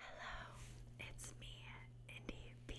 Hello, it's me, Indy B.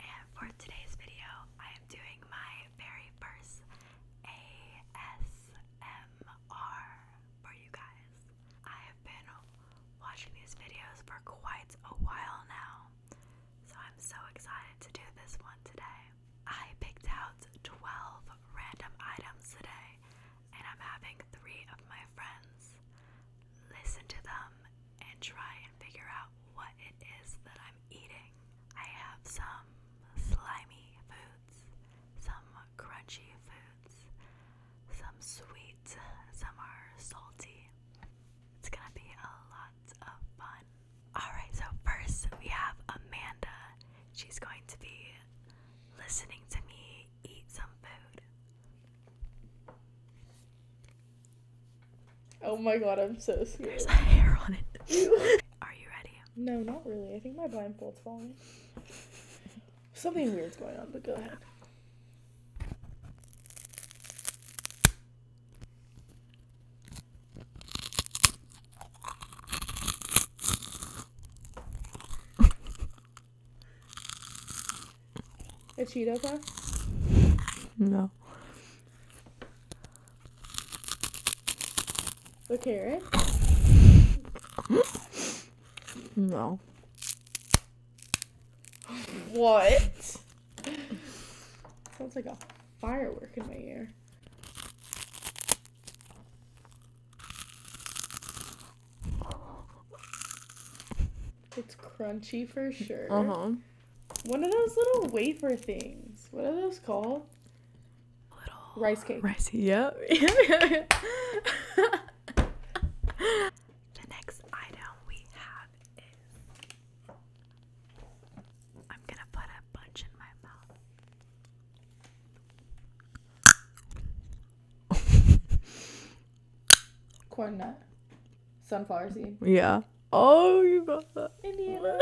And for today's video, I am doing my very first ASMR for you guys. I have been watching these videos for quite a while now, so I'm so excited to do this one today. I picked out 12 random items today and I'm having three of my friends listen to them and try and figure out what it is that I'm eating. I have some slimy foods, some crunchy foods, some sweet, some are salty. It's gonna be a lot of fun. Alright, so first we have Amanda. She's going to be listening to me eat some food. Oh my god, I'm so scared. There's a hair on it. Are you ready? No, not really. I think my blindfold's falling. Something weird's going on, but go ahead. A Cheeto No. A carrot? No. What? Sounds like a firework in my ear. It's crunchy for sure. Uh huh. One of those little wafer things. What are those called? Little rice cake. Rice. Yep. Yeah. the next item we have is I'm gonna put a bunch in my mouth. Corn nut. Sunflower seed. Yeah. Oh, you got that. Indiana.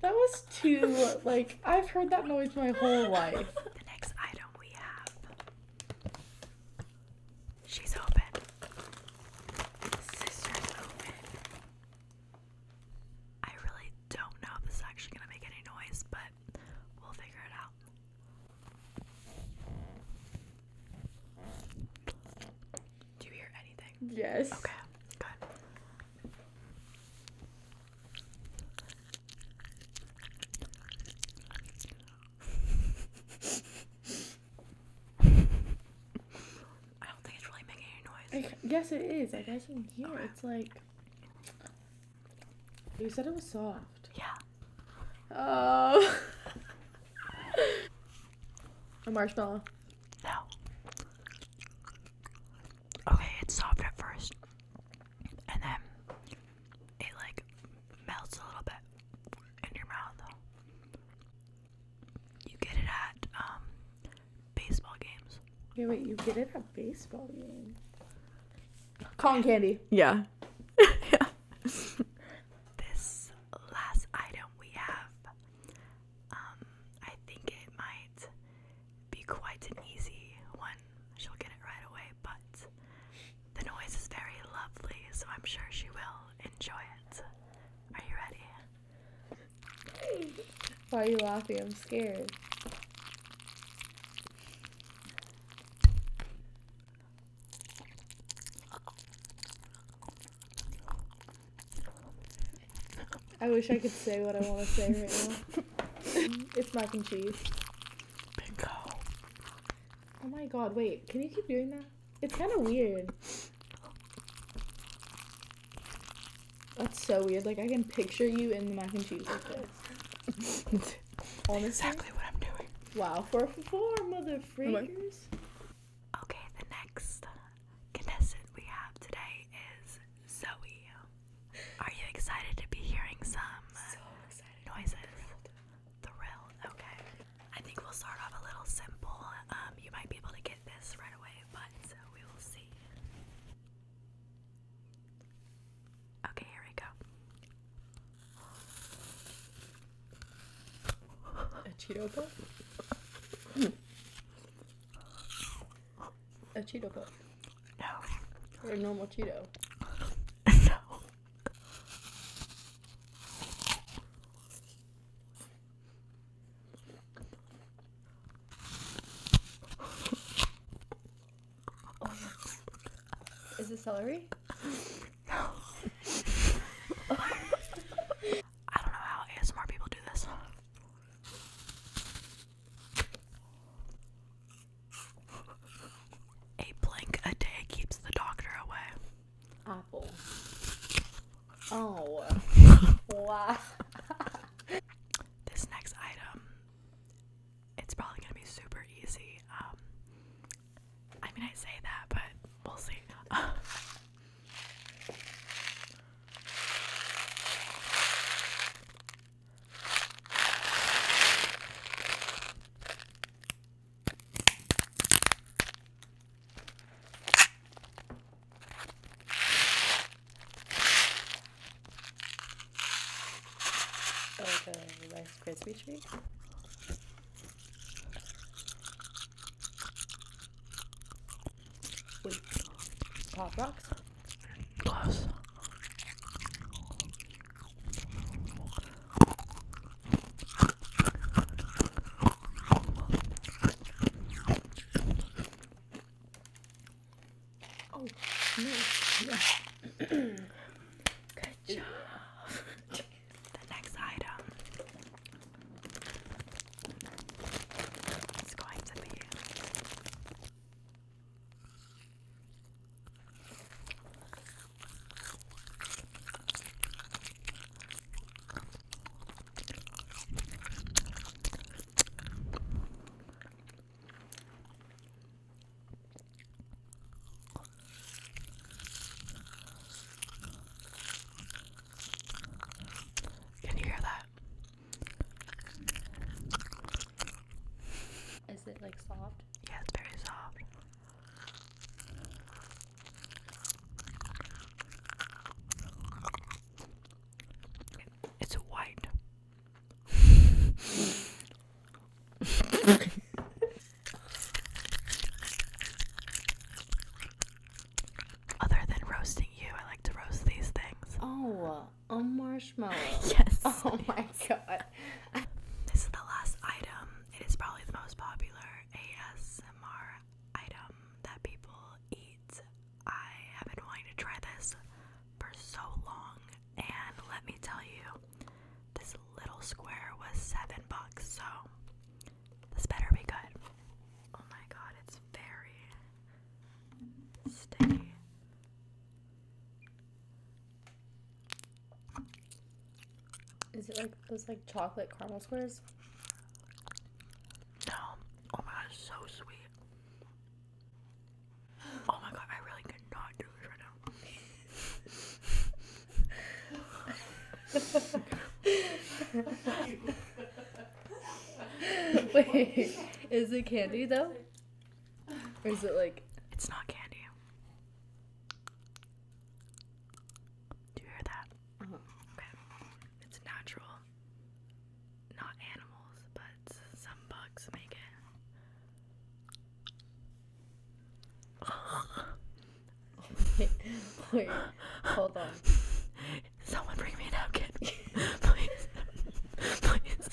that was too, like, I've heard that noise my whole life. The next item we have. She's open. Sister's open. I really don't know if this is actually going to make any noise, but it. We'll figure it out. Do you hear anything? Yes. Okay, good. I don't think it's really making any noise. I, yes, it is. I can hear okay. It's like. You said it was soft. Yeah. Oh. a marshmallow. No. Okay, it's soft at first. And then it like melts a little bit in your mouth. You get it at um, baseball games. Yeah, wait, you get it at baseball game. Cotton candy. Yeah. yeah. this last item we have, um, I think it might be quite an easy one. She'll get it right away, but the noise is very lovely, so I'm sure she will enjoy it. Are you ready? Why are you laughing? I'm scared. I wish I could say what I want to say right now. it's mac and cheese. Bingo. Oh my god, wait, can you keep doing that? It's kind of weird. That's so weird. Like I can picture you in the mac and cheese like this. Exactly what I'm doing. Wow, four for four, mother freakers. Okay, the next contestant we have today is Zoe. Are you excited to be hearing some so excited. noises? Thrilled. Okay. I think we'll start off a little simple. Um, you might be able to get this right away, but we will see. Okay, here we go. A Cheeto Puff? A Cheeto Puff? No. Or a normal Cheeto? no. Is it celery? No. I don't know how ASMR people do this. A blank a day keeps the doctor away. Apple. Oh. wow. this next item, it's probably gonna be super easy. Um, I mean, I say that, but we'll see. Like a Rice Krispie treat? With Pop Rocks? Close. Oh, nice. Good job. the next item is going to be can you hear that? Is it like soft? Yeah, it's very soft. It's white. Other than roasting you, I like to roast these things. Oh, a marshmallow. yes. Oh my god. This is the last item. It is probably the most popular ASMR item that people eat I have been wanting to try this for so long, and let me tell you, this little square was seven bucks, so this better be good. Oh my god, it's very sticky. Is it like those like chocolate caramel squares? No. Um, oh my god, it's so sweet. Oh my god, I really cannot do this right now. Wait, is it candy though? Or is it like. It's not candy. Do you hear that? Uh-huh. It's natural not animals, but some bugs make it. hold on. Someone bring me a napkin, please, please.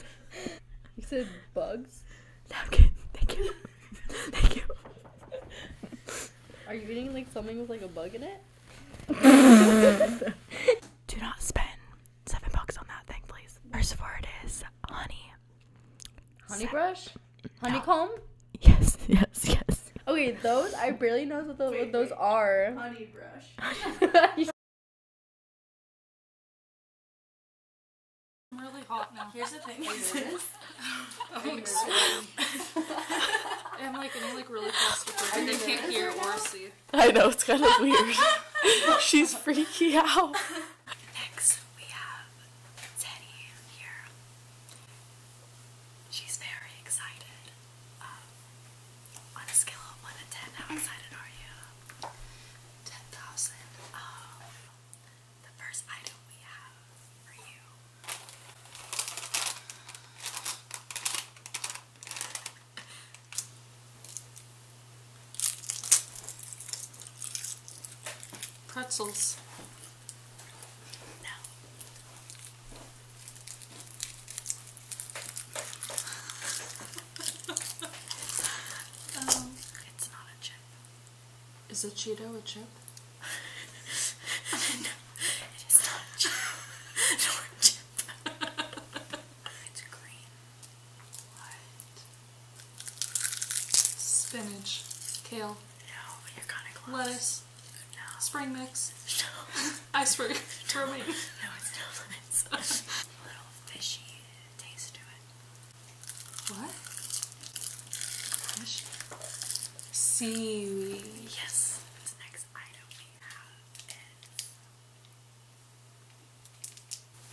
You said bugs. Napkin. Thank you. Thank you. Are you eating like something with like a bug in it? Do not spend seven bucks on that thing, please. First word is honey. Honey brush? Honeycomb? No. Yes, yes, yes. Okay, those I barely know what, those, what those are. Honey brush. I'm really hot now. Here's the thing. Oh, I'm like, and I'm really close to They can't hear I know it's kind of weird. She's freaky out. Next, we have Teddy here. She's very excited. Um, on a scale of one to ten, how excited are you? Ten thousand. Um, the first item we have for you Pretzels. No. um, it's not a chip. Is a Cheeto a chip? no, it is not a it's green. What? Spinach. Kale. No, you're kind of close. Lettuce. No. Spring mix. No. Iceberg. No. no, it's not. lettuce. a little fishy taste to it. What? Fish? See. Yes. This next item we have is.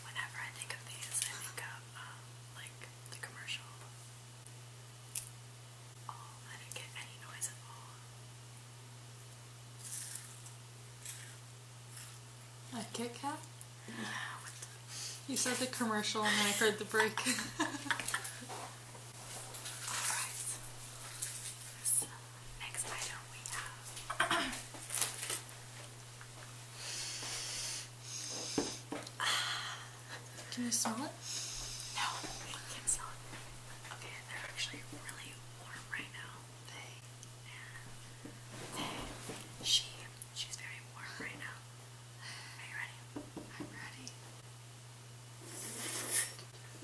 Whenever I think of these, I think of um, like the commercial. Oh, I didn't get any noise at all. A Kit Kat? Yeah. you said the commercial, and then I heard the break. next item we have Can I smell it? No, I can't smell it. Okay, they're actually really warm right now. They and they she she's very warm right now. Are you ready? I'm ready.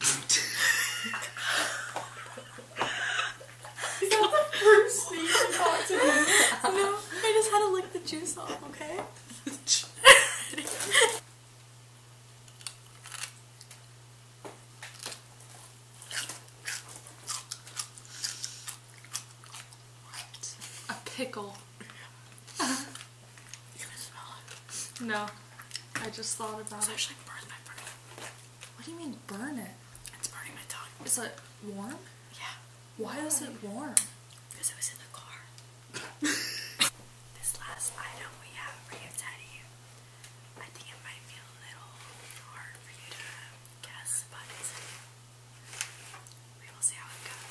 first thing you talked to me? No, I just had to lick the juice off, okay? A pickle. You can smell it. No. I just thought about it's it. It's actually burns my brain. What do you mean burn it? It's burning my tongue. Is it warm? Yeah. Why warm. is it warm? Because it was in the car. this last item we have for you, Teddy. I think it might feel a little hard for you to guess, but we will see how it goes.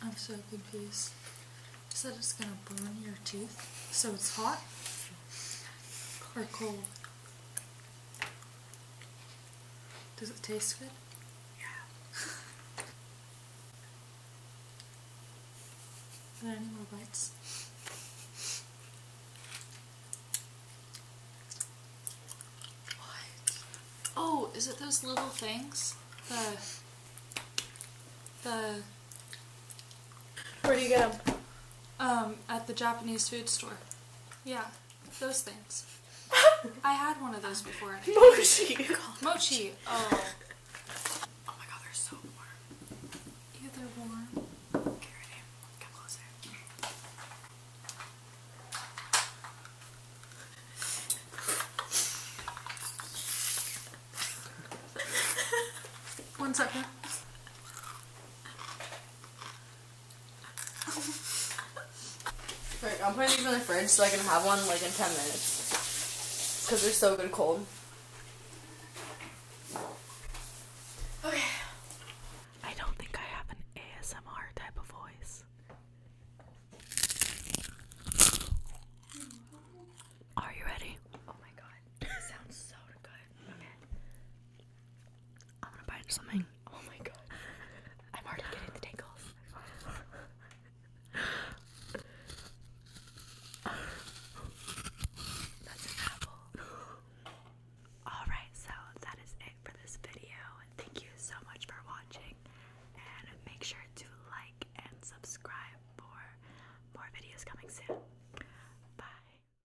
I'm so confused. Is that it's gonna burn your teeth, so it's hot or cold. Does it taste good? Yeah. any more bites? What? Oh, is it those little things? The... The... Where do you get them? Um, at the Japanese food store. Yeah. Those things. I had one of those before. mochi. Mochi. Oh. Oh my god, they're so warm. Yeah, they're warm. One second. right, I'm putting these in the fridge so I can have one like in 10 minutes. Because they're so good cold. Okay. I don't think I have an ASMR type of voice. Are you ready? Oh my god. This sounds so good. Okay. I'm gonna bite something. Oh my god. I'm already getting the tingles. That's Alright, so that is it for this video. Thank you so much for watching. And make sure to like and subscribe for more videos coming soon. Bye.